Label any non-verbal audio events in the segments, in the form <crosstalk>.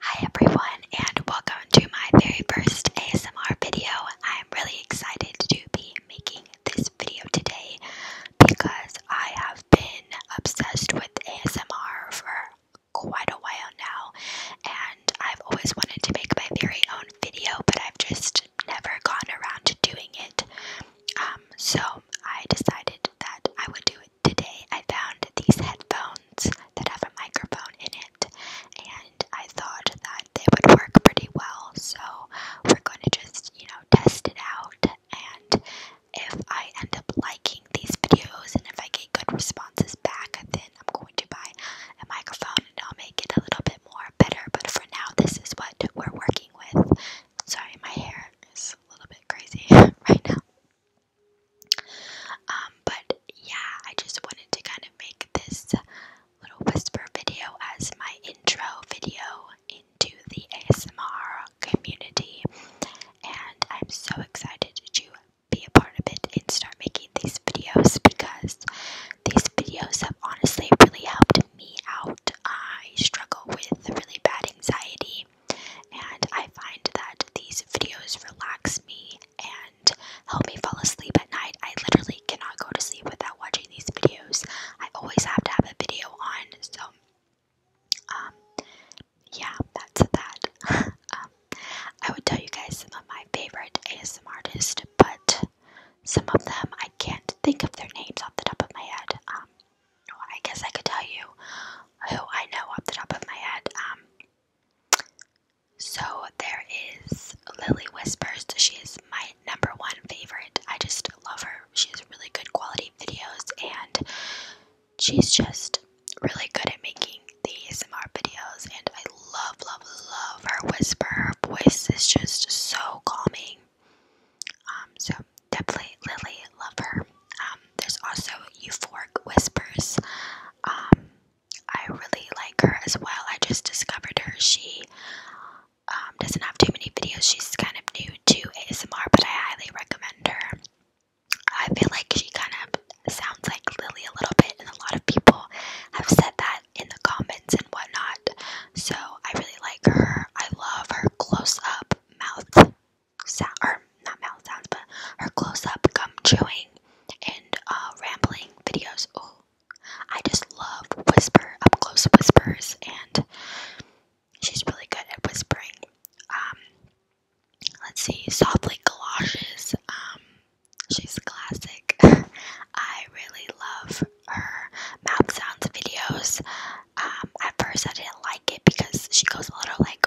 Hi everyone and welcome to my very first ASMR video. I am really excited to be making this video today because I have been obsessed with ASMR for quite a while now and I've always wanted to make my very own video but I've just never gone around to doing it. Um, so I decided that I would do it today I found these headphones that have a microphone in it, and I thought that they would work pretty well, so we're going to just, you know, test it out. And if I end up liking these videos and if I get good responses back, then I'm going to buy a microphone and I'll make it a little bit more better. But for now, this is what we're working with. Sorry, my hair is a little bit crazy <laughs> right now. Um, but yeah, I just wanted to kind of make this little whisper video as my intro video into the ASMR community, and I'm so excited to be a part of it and start making these videos because these videos have honestly really helped me out. I struggle with really bad anxiety and I find that these videos relax me and help me fall asleep at night. I literally cannot go to sleep without watching these videos. I always have to have a video on, so um yeah, that's that. <laughs> um, I would tell you guys some of my favorite ASM artists, but some of them I can't think of their names off the top of my head. Um, I guess I could tell you who I know off the top of my head. Um, so there is Lily Whispers. She is my number one favorite. I just love her. She has really good quality videos, and she's just really good at making the ASMR videos. And I love, love, love her whisper. Her voice is just so calming um, so definitely Lily, love her. Um, there's also Euphoric Whispers. Um, I really like her as well. I just discovered her. She doesn't have too many videos. She's kind of new to ASMR, but I highly recommend her. I feel like she kind of sounds like Lily a little bit, and a lot of people have said that in the comments and whatnot. So I really like her. I love her close up mouth sound or not mouth sounds, but her close-up gum chewing and uh, rambling videos. Oh, I just love whisper up close whispers, and she's really good at whispering. Um, let's see, softly galoshes. Um, she's classic. <laughs> I really love her mouth sounds videos. Um, at first I didn't like it because she goes a little like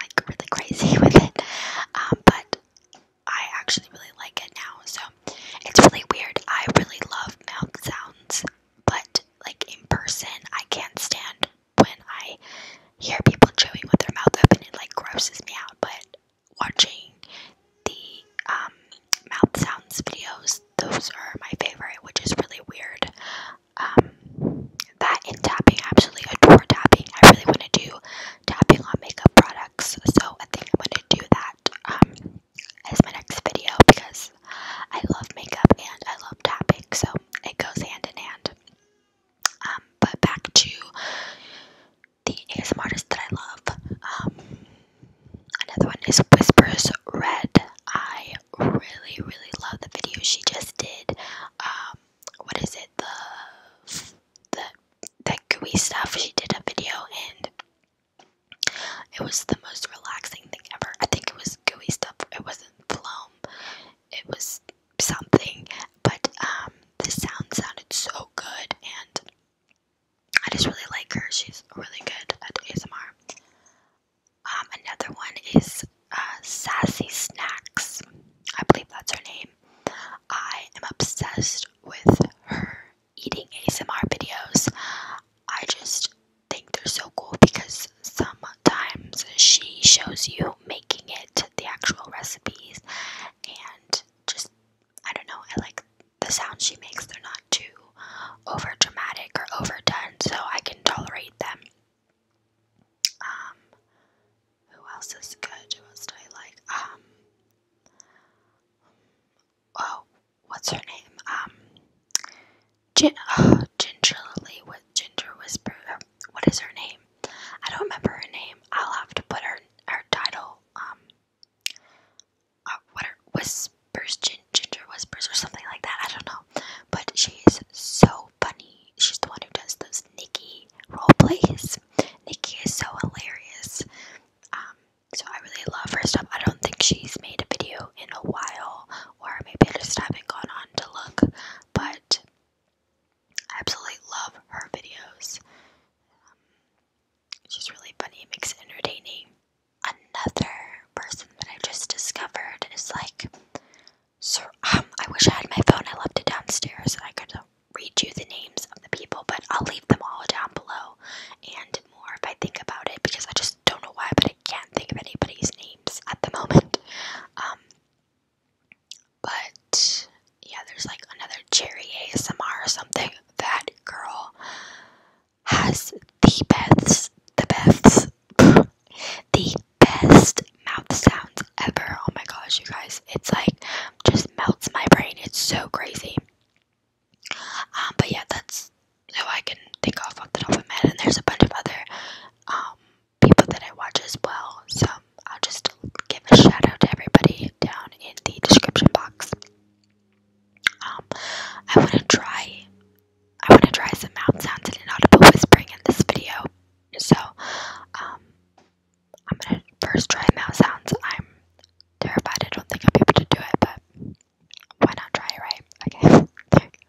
like really crazy <laughs> with it. Um, but I actually really like it now. So it's really weird. I really love mouth sounds, but like in person, I can't stand when I hear people chewing with their mouth open. It like grosses me out. But watching the um, mouth sounds videos. Those are my favorite, which is really weird. Um, that in tapping, absolutely adore tapping. I really want to do tapping on makeup products, so I think I'm going to do that um, as my next video because I love makeup and I love tapping, so it goes hand in hand. but back to the ASMR artist that I love. Um, another one is Whispers Red. I really, really love the video she just did. Um, what is it? The the that gooey stuff. She did a video and it was the most relaxing thing ever. I think it was gooey stuff. It wasn't plum. It was something. But um, the sound sounded so good and I just really like her. She's really good at ASMR. Um, another one is uh, Sassy Snacks. I believe that's her name. I am obsessed with her eating ASMR videos. I just think they're so cool because sometimes she shows you making it, the actual recipes, and just I don't know, I like the sounds she makes, they're not too over dramatic or overdone, so I can tolerate them. Um, who else is good? Who else do I like? Um, oh, what's her name? Um, Gin- oh, Ginger with Ginger Whisper. What is her name? I don't remember her name. I'll have to put her her title call um uh, what are whispers ginger whispers or something like that. I don't know, but she is so funny. She's the one who does those Nikki role plays. Nikki is so hilarious. Um, so I really love her stuff. I don't think she's made a video in a while, or maybe I just haven't gone on to look. But I absolutely love her videos. she's um, really funny, makes it entertaining. Another person that I just discovered is like, so um, I wish I had my phone. I left it downstairs, and I could uh, read you the names of the people, but I'll leave them all down below and more if I think about it because I just don't know why, but I can't think of anybody's names at the moment. Um, but yeah, there's like another cherry ASMR or something. That girl has the best, the best, the best mouth sounds ever. Oh my gosh, you guys, it's like just melts my brain. It's so crazy. Um, but yeah, that's who I can think of off the top of my head. And there's a bunch of other um, people that I watch as well. So I'll just give a shout out to everybody down in the description box. Um, I want to try, I want to try some mouth sounds and inaudible whispering in this video. So, um, I'm gonna first try mouth sounds. I'm terrified. I don't think I'll be able to do it, but why not try it, right? Okay. <laughs>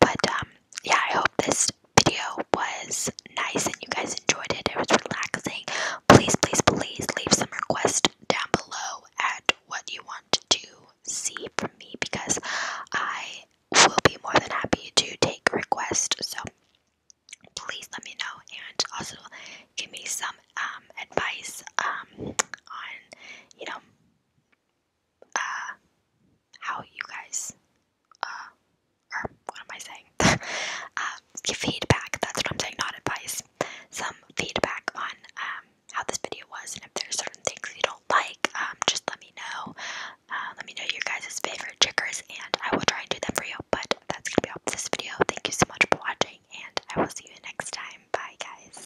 But um, yeah, I hope this video was nice and you guys enjoyed it. It was relaxing. Please, please, please leave some requests down below at what you want to see from me because I will be more than happy to take requests. So please let me know and also give me some um, advice um, on you know uh, how you guys, uh, or what am I saying? <laughs> uh, give feedback. That's what I'm saying, not advice. Some feedback on um, how this video was, and if there's certain things you don't like, um, just let me know. Uh, let me know your guys' favorite triggers, and I will try and do them for you. But that's gonna be all for this video. Thank you so much for watching, and I will see you next time. Bye, guys.